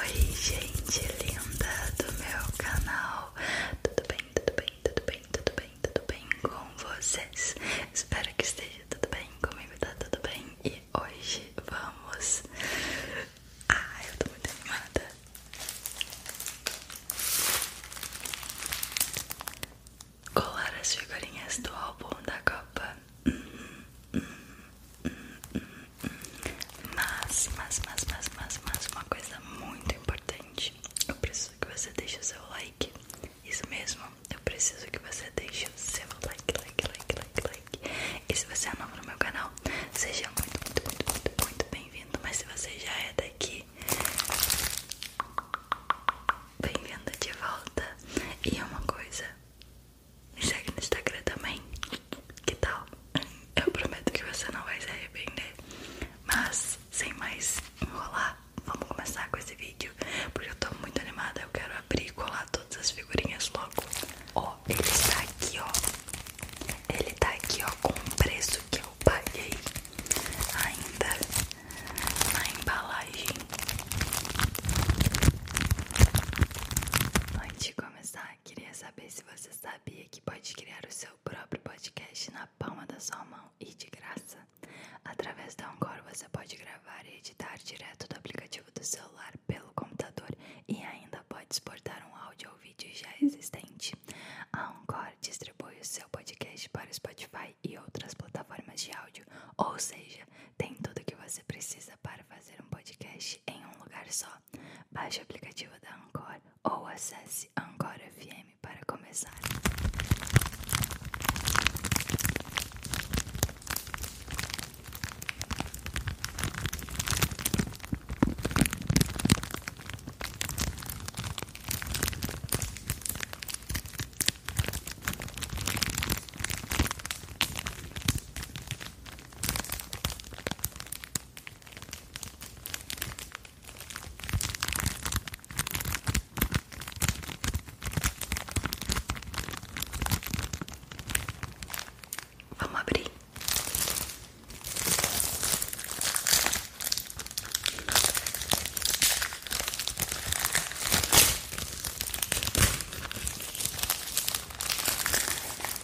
Oi, gente linda do meu canal. Tudo bem, tudo bem, tudo bem, tudo bem, tudo bem com vocês? Espero que esteja tudo bem comigo, tá tudo bem? E hoje vamos. Ah, eu tô muito animada. Colar as figurinhas do álbum da Copa mas, mas, mas, mas, mas, mas uma coisa muito importante. Eu preciso que você deixe o seu like. Isso mesmo, eu preciso que você deixe o seu like, like, like, like, like. E se você é novo no meu canal, seja muito, muito, muito, muito, muito bem-vindo. Mas se você já é daqui, bem-vindo de volta. E é uma coisa me segue no Instagram também. Que tal? Eu prometo que você não vai se arrepender. Mas, sem mais enrolar, vamos começar com esse vídeo. Porque eu tô muito animada. Eu quero abrir e colar todas as figurinhas logo. Ó, ele está aqui, ó. Ele tá aqui, ó, com o preço que eu paguei ainda na embalagem. Antes de começar, queria saber se você sabia que pode criar o seu próprio podcast na palma da sua mão e de graça. Através da Encore você pode gravar e editar direto do aplicativo do celular pelo computador e ainda pode exportar um áudio ou vídeo já existente. A Encore distribui o seu podcast para o Spotify e outras plataformas de áudio, ou seja, tem tudo o que você precisa para fazer um podcast em um lugar só. Baixe o aplicativo da Anchor ou acesse Anchor FM para começar. Vamos abrir.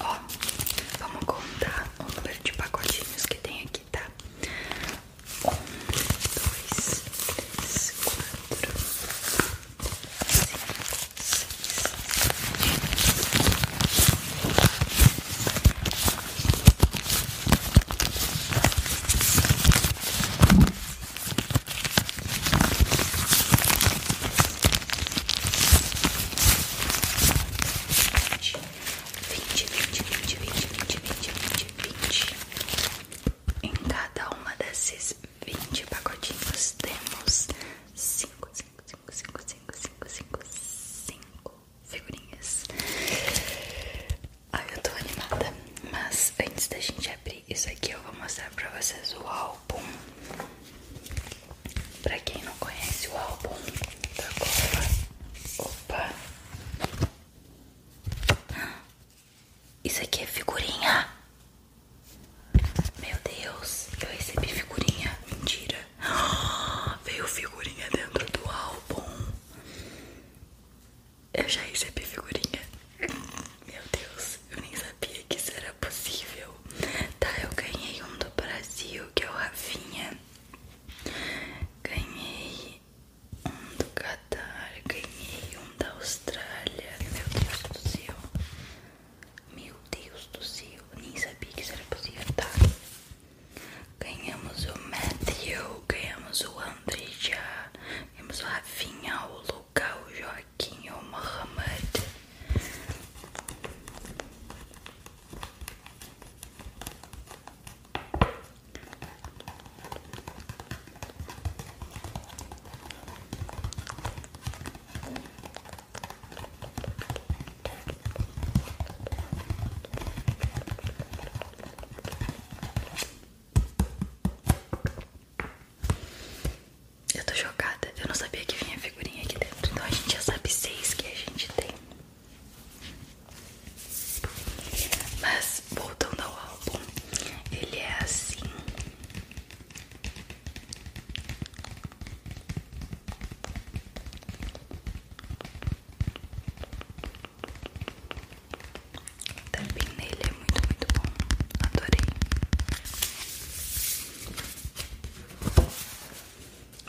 Ó, vamos contar o número de pacotinhos que tem aqui, tá? Um, dois, três, quatro, cinco, seis, sete. 20, 20, 20, 20, 20, 20, 20, 20. Em cada uma desses 20 pacotinhos temos 5, 5, 5, 5, 5, 5, 5, figurinhas. Ai, eu tô animada. Mas antes da gente abrir isso aqui, eu vou mostrar pra vocês o álbum. Pra quem não conhece o álbum tá opa, isso aqui é figurinha. Meu Deus, eu recebi figurinha, mentira. Veio figurinha dentro do álbum. Eu já recebi figurinha. Meu Deus, eu nem sabia que isso era possível. Tá, eu ganhei um do Brasil vídeo, que é o Rafinha. Ganhei um do Qatar, ganhei um da Austrália. Meu Deus do céu. Meu Deus do céu. Nem sabia que isso era possível, tá? Ganhamos o Matthew, ganhamos o André já, ganhamos o Rafinha, o Lucas, o Joaquim, o Mohamed. Eu tô chocada, eu não sabia que vinha figurinha aqui dentro. Então a gente já sabe seis que a gente tem. Mas voltando ao álbum, ele é assim. também nele é muito, muito bom. Adorei.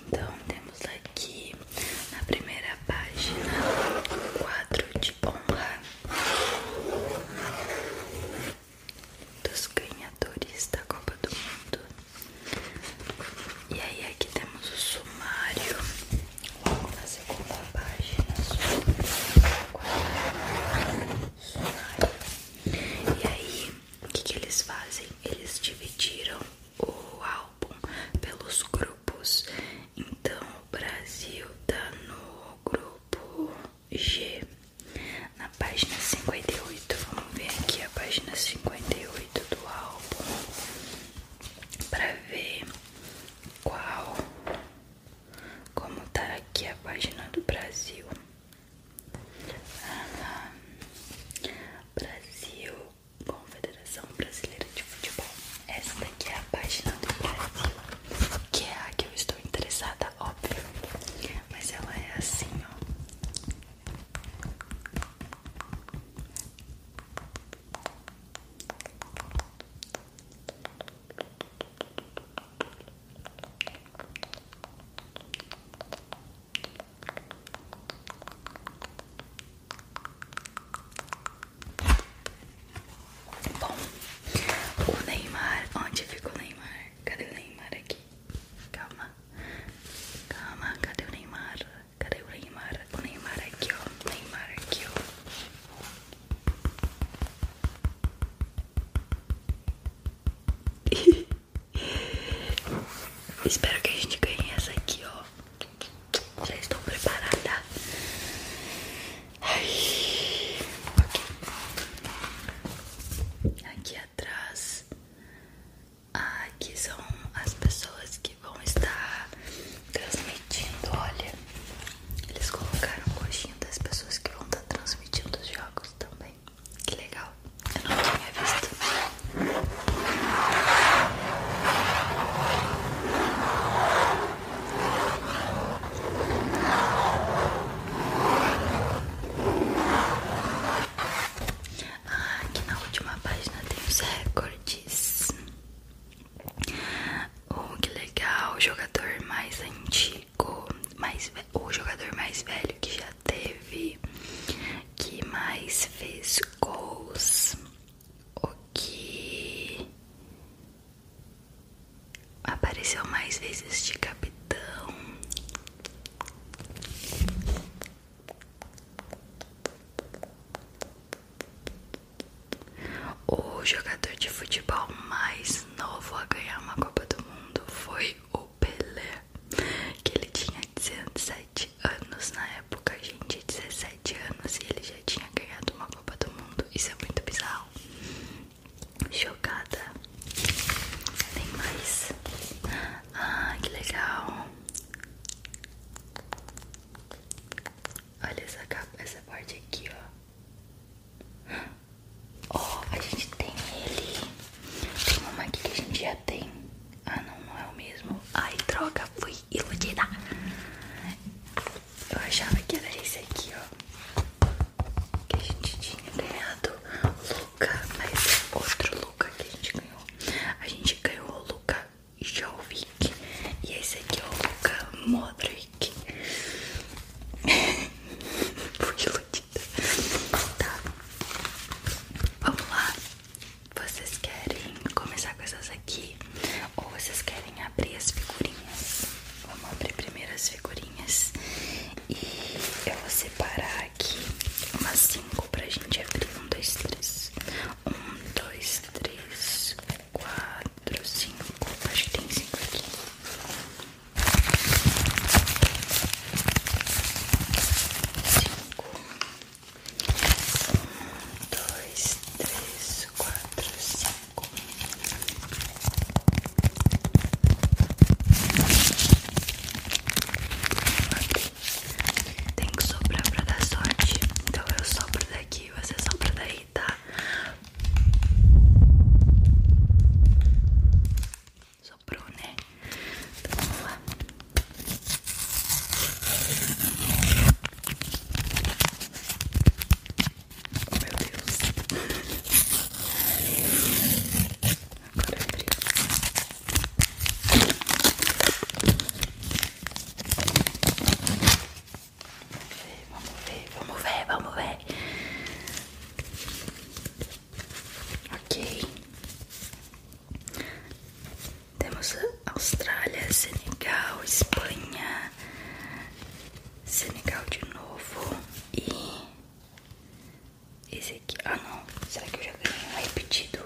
Então temos aqui na primeira página o quadro de honra dos ganhadores da Copa do Mundo. E aí aqui temos o sumário logo na segunda página. Sumário. sumário. E aí o que, eles fazem? Eles dividiram o álbum pelos grupos. Então, o Brasil tá no grupo G, na página 58. Vamos ver aqui a página 58 do álbum para ver qual, como tá aqui a página do Brasil. Brasil, Confederação Brasileira de Futebol. Essa daqui é a página do Brasil, que é a que eu estou interessada, óbvio. Mas ela é assim, ó. Bom, o Neymar, onde ficou o Neymar? Cadê o Neymar aqui? Calma, calma, cadê o Neymar? Cadê o Neymar? O Neymar aqui, ó. Neymar aqui, ó. Espero que a gente ganhe essa aqui, ó. Já estou preparada. Aqui atrás, ah, aqui são as pessoas que vão estar transmitindo. Olha, eles colocaram o coxinho das pessoas que vão estar transmitindo os jogos também. Que legal. Eu não tinha visto. Ah, aqui na última página tem os recordes. Oh, que legal! O jogador mais antigo, mais o jogador mais velho que já teve que mais fez gols, o que apareceu mais vezes de capitão. O jogador de futebol mais novo a ganhar uma Copa do Mundo foi o Pelé, que ele tinha 17 anos na época, a gente, tinha 17 anos e ele já tinha ganhado uma Copa do Mundo. Isso é muito bizarro. Chocada. Tem mais. Ah, que legal. Olha essa capa, essa parte aqui, ó. Ó, a gente tem ele. Tem uma aqui que a gente já tem. Ah, não, não é o mesmo. Ai, droga, fui iludida. Eu achava que era esse aqui, ó. Que a gente tinha ganhado Luca, mas é outro Luca que a gente ganhou. A gente ganhou o Luca Jovic. E esse aqui é o Luca Modric. fui iludida. Tá. Vamos lá. Vocês querem começar com essas aqui? Ou vocês querem abrir as figurinhas? Vamos abrir primeiro as figurinhas E eu vou separar aqui umas 5 pra gente abrir 1, 2, 3 1, 2, 3, 4, 5 Acho que tem 5 aqui Cinco, um, dois, três, quatro, cinco. Tem que soprar pra dar sorte. Então eu sopro daqui, você sopra daí, tá? Soprou, né? Então lá. meu Deus. Agora abriu. Vamos ver, vamos ver, vamos ver. Ok. Temos Austrália, Senegal, Espanha, Senegal de novo e esse aqui. Ah não, será que eu já ganhei é repetido?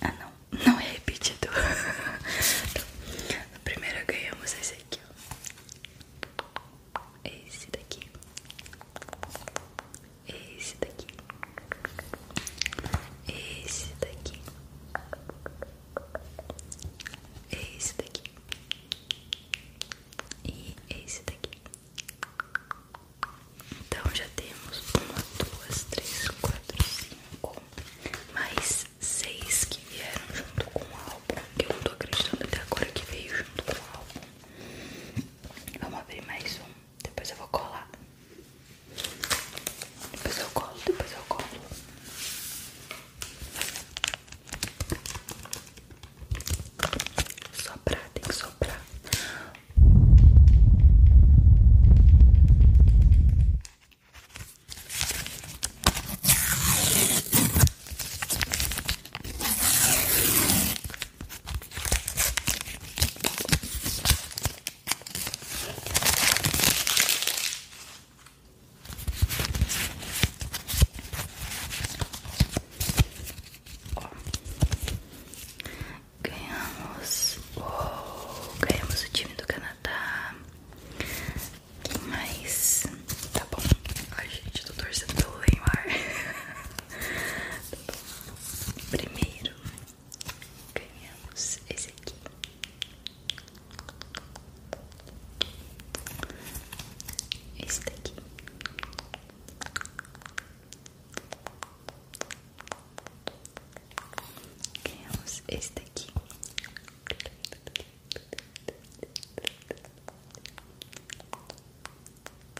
Ah não, não é repetido. então, primeiro ganhamos esse aqui, esse daqui, esse daqui, esse daqui, esse daqui e esse daqui. Então já temos uma, duas, três, quatro, cinco, mais seis que vieram junto com o álbum. Eu não tô acreditando até agora que veio junto com o álbum. Vamos abrir mais um. Depois eu vou colar. Depois eu colo, depois eu colo. Soprar, tem que soprar. Ganhamos o, ganhamos o time do Canadá. Mas tá bom. a gente, eu tô torcendo pelo Neymar. Primeiro ganhamos esse aqui. Esse aqui, Ganhamos esse aqui.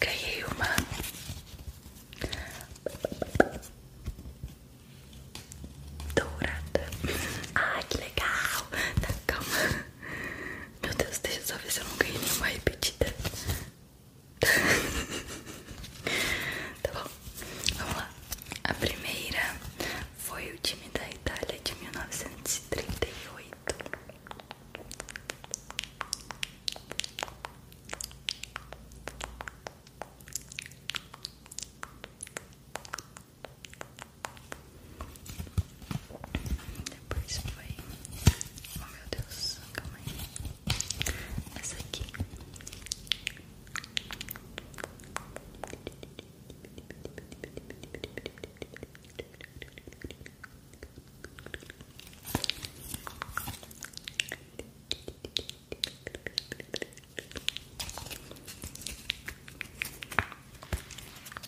ganhei uma. Dourada. Ah, que legal. Tá, calma. Meu Deus, deixa eu só ver se eu não ganhei nenhuma repetida tá bom, vamos lá. A primeira foi o time da Itália de mil novecentos e e trinta oito Depois foi. Oh, meu Deus, calma aí. Essa aqui a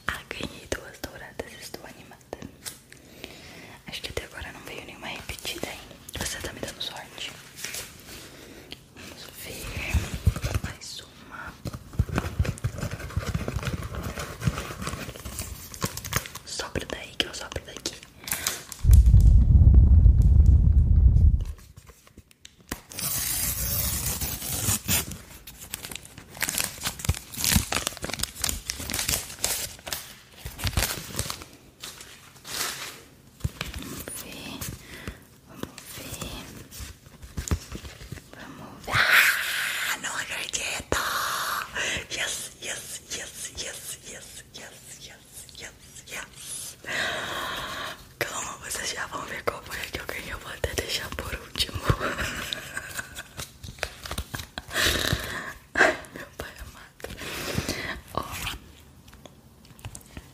ah, ganhei duas douradas, estou animada. Acho que até agora não veio nenhuma repetida ainda. Você está me dando sorte. Vamos ver. Mais uma. Sopra daí que eu sopro daqui. Vamos ver. Vamos ver. Vamos ver. Ah, não acredito! Yes, yes, yes, yes, yes, yes, yes, yes, yes. Calma, vocês já vão ver como é que eu ganhei. Eu vou até deixar por último. meu pai amado. Ó.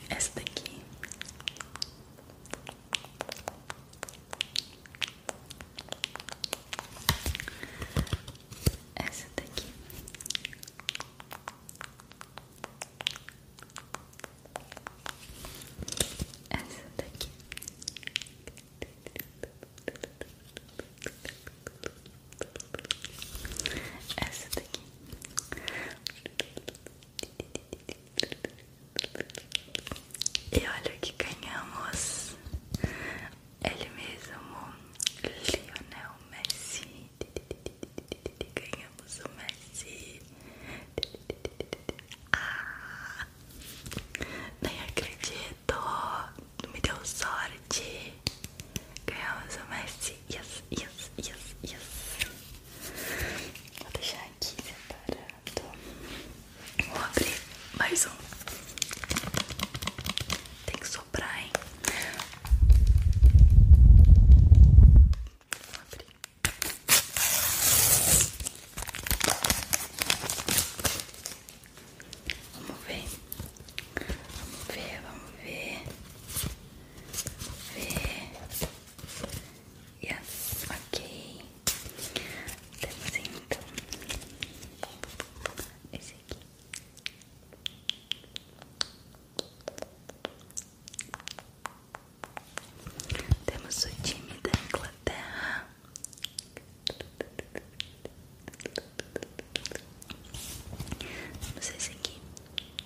Essa daqui Essa daqui Essa daqui essa daqui E olha o que ganhamos Ele mesmo Lionel Messi Ganhamos o Messi ah, Nem acredito Me deu sorte aqui. Ganhamos é o Messi. Yes, yes, yes, yes. Vou deixar aqui separado. Vou abrir mais um. Tem que soprar, hein? Vou abrir. Vamos ver. Vamos ver, vamos ver ver. É. Yeah, ok. Temos então esse aqui. Temos o time da Inglaterra. vocês aqui.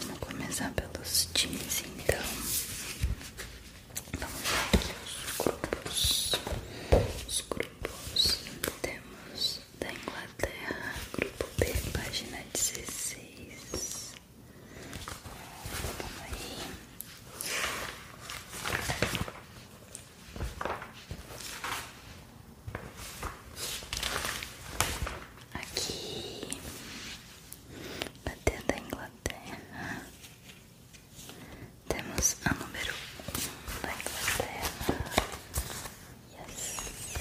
Vamos começar pelos times então. Vamos lá os grupos. Os grupos temos da Inglaterra, grupo B, página 16. Vamos aí. Aqui Bater da Inglaterra. Temos a número 1 da Inglaterra. Yes.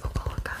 Vou colocar.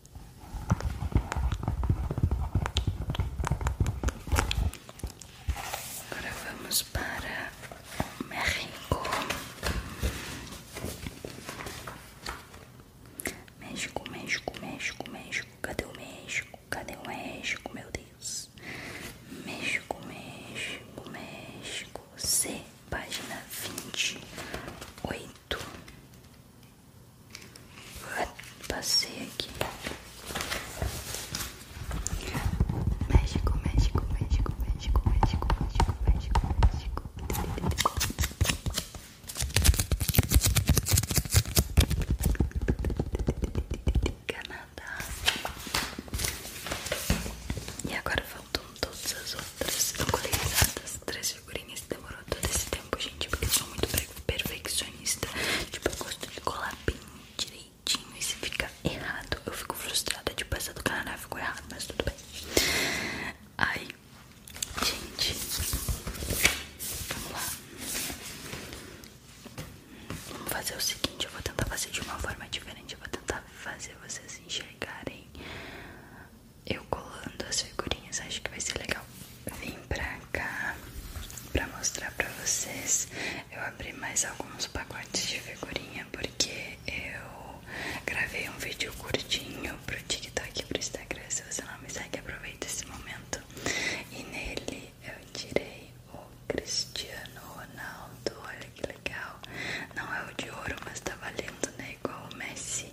Agora vamos para México. México, México, México, México. Cadê o México? Cadê o México, meu Deus? México, México, México. C, página 28 muito. Passei aqui. México, México, México, México, México, México, México, México. Canadá. E agora vamos faltam todas as outras encolizadas, três figurinhas. Demorou todo esse tempo, gente, porque eu sou muito perfeccionista. Tipo, eu gosto de colar bem direitinho. E se fica errado, eu fico frustrada. Tipo, essa do Canadá ficou errado, mas tudo bem. Aí, gente, vamos lá. Vamos fazer o seguinte: eu vou tentar fazer de uma forma diferente. Eu vou tentar fazer vocês enxergarem eu colando as figurinhas, acho que vai ser legal. Vim pra cá pra mostrar pra vocês. Eu abri mais alguns pacotes de figurinha porque eu gravei um vídeo curtinho pro TikTok e pro Instagram. Se você não me segue, aproveita esse momento. E nele eu tirei o Cristiano Ronaldo. Olha que legal! Não é o de ouro, mas tá valendo, né? Igual o Messi.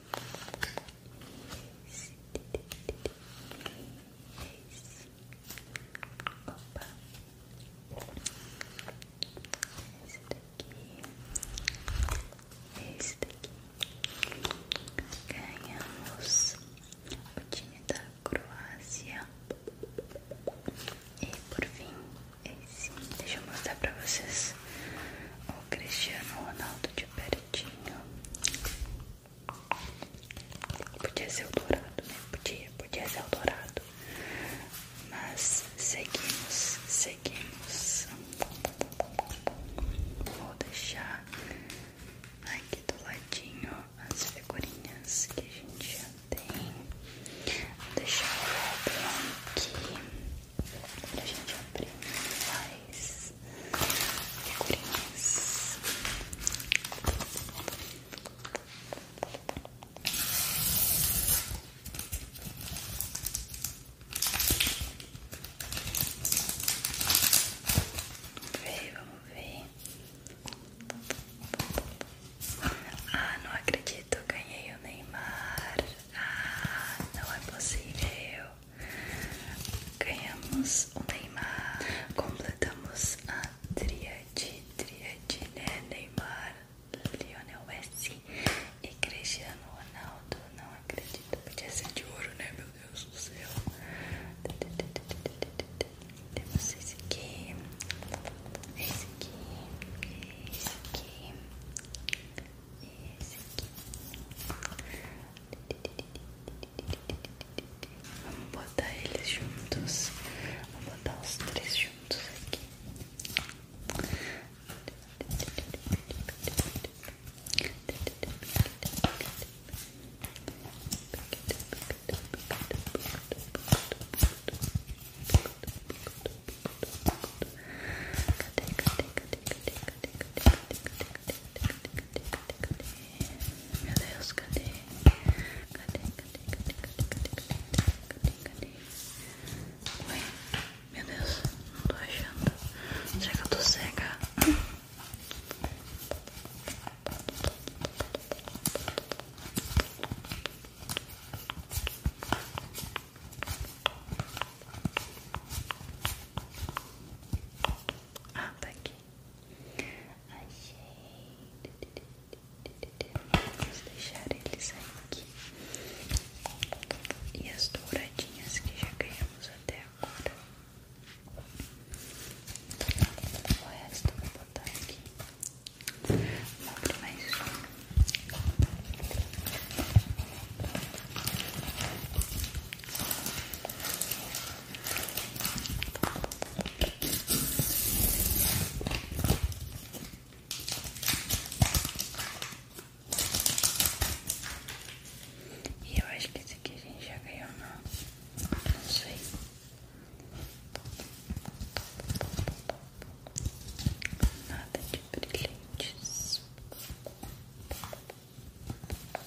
Esse. Esse. Opa. Esse daqui. Esse daqui. Ganhamos o time da Croácia. E por fim, esse. Deixa eu mostrar para vocês o Cristiano Ronaldo de pertinho. Podia ser o dourado, né? Podia, podia ser o dourado. Mas seguimos, seguimos. Vou deixar aqui do ladinho as figurinhas que a gente já tem. Vou deixar o álbum aqui pra gente abrir mais figurinhas. Vamos ver, vamos ver. Ah, não acredito, ganhei o Neymar. Ah, não é possível. Ganhamos o Neymar. Completamos a tríade, tríade, né? Neymar, Lionel Messi e Cristiano Ronaldo. Não acredito. Podia ser de ouro, né? Meu Deus do céu. Temos esse aqui. Esse aqui. Esse aqui. Esse aqui. Vamos botar eles juntos. Vamos botar os três juntos aqui. Cadê, cadê, cadê, Meu Deus, meu Deus, não tô achando. Será que cega? Ah, tá aqui. Achei. Vamos deixar eles aqui. E as douradinhas que já ganhamos até agora. O resto eu vou botar aqui. Vou abrir mais um. E eu acho que esse aqui a gente já ganhou, não? Não sei. Nada de brilhantes pra cá. Tá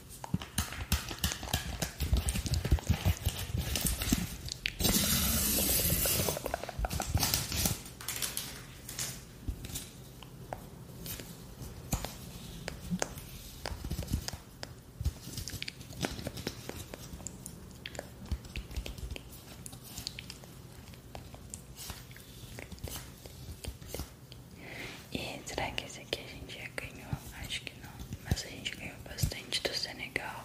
E será que esse aqui a gente ganhou, acho que não, mas a gente ganhou bastante do Senegal.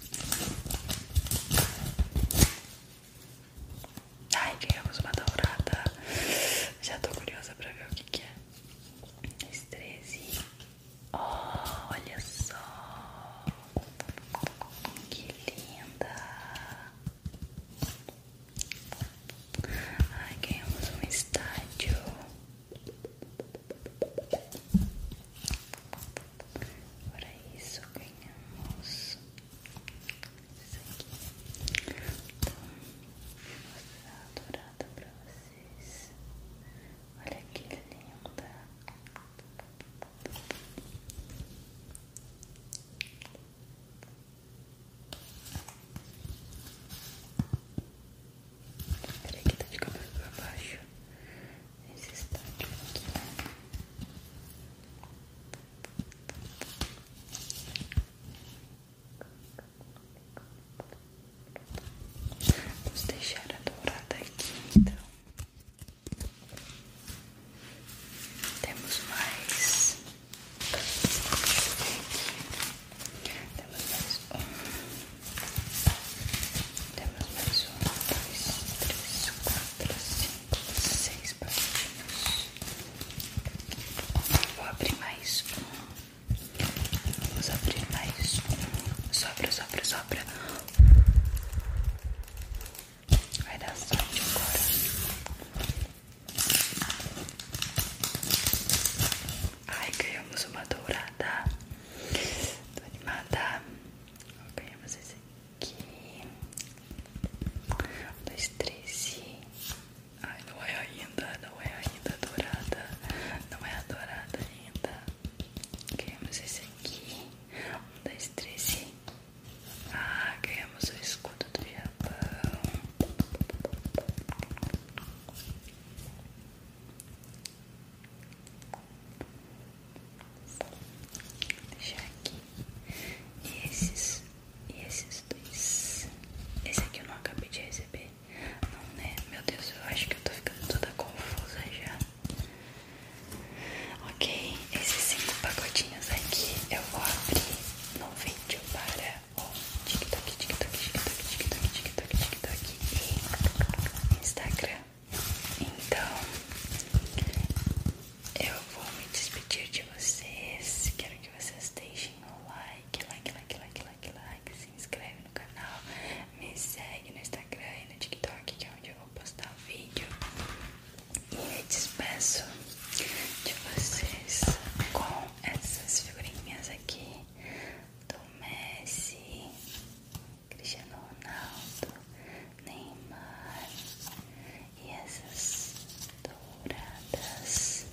Ai, ganhamos é uma dourada. Já tô curiosa pra ver o que, é. Esse 13. Oh, olha só. Que linda. Ai, ganhamos é um estádio. Para é isso ganhamos isso aqui. Então, vou mostrar dourada pra vocês. Olha que linda. Peraí que tá de cabelo pra baixo esse estádio aqui, né? Vamos deixar a dourada aqui, então. Temos mais. Temos mais um. Temos mais um, dois, três, quatro, cinco seis patinhos. Vou abrir mais Vamos abrir mais um. Sopra, sopra, sopra. Vai dar sorte agora. Ai, ganhamos uma dourada. Tô animada. Ganhamos esse aqui. Um, dois, três e. Ai, não é ainda, não é ainda dourada. Não é dourada ainda. queremos esse aqui. Um, dois, três e. Ah, ganhamos o escudo do Japão deixar aqui e esses e esses dois esse aqui eu não acabei de receber não né meu Deus eu acho que eu tô ficando toda confusa já ok esses cinco pacotinhos aqui eu vou abrir no vídeo para o TikTok TikTok TikTok TikTok TikTok TikTok, TikTok, TikTok e Instagram então, eu vou me despedir de vocês. Quero que vocês deixem o like, like, like, like, like, like. Se inscreve no canal, me segue no Instagram e no TikTok, que é onde eu vou postar o vídeo. E me despeço de vocês com essas figurinhas aqui do Messi. Cristiano Ronaldo, Neymar e essas douradas.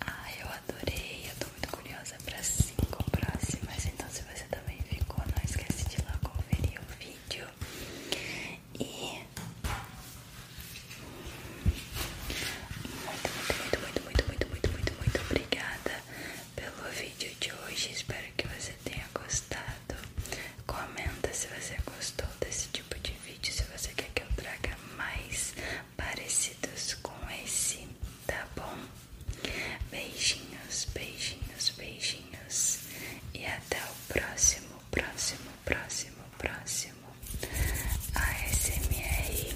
Ah, eu adorei, eu tô muito curiosa para cinco próximas, então se você também ficou, não esquece de lá conferir o vídeo. E muito, muito, muito, muito, muito, muito, muito, muito, muito obrigada pelo vídeo de hoje. Espero que você tenha gostado. Comenta se você gostou desse tipo de vídeo, se você quer que eu traga mais parecidos com esse, tá bom? Beijinhos, beijinhos, beijinhos. E até o próximo, próximo, próximo, próximo. ASMR.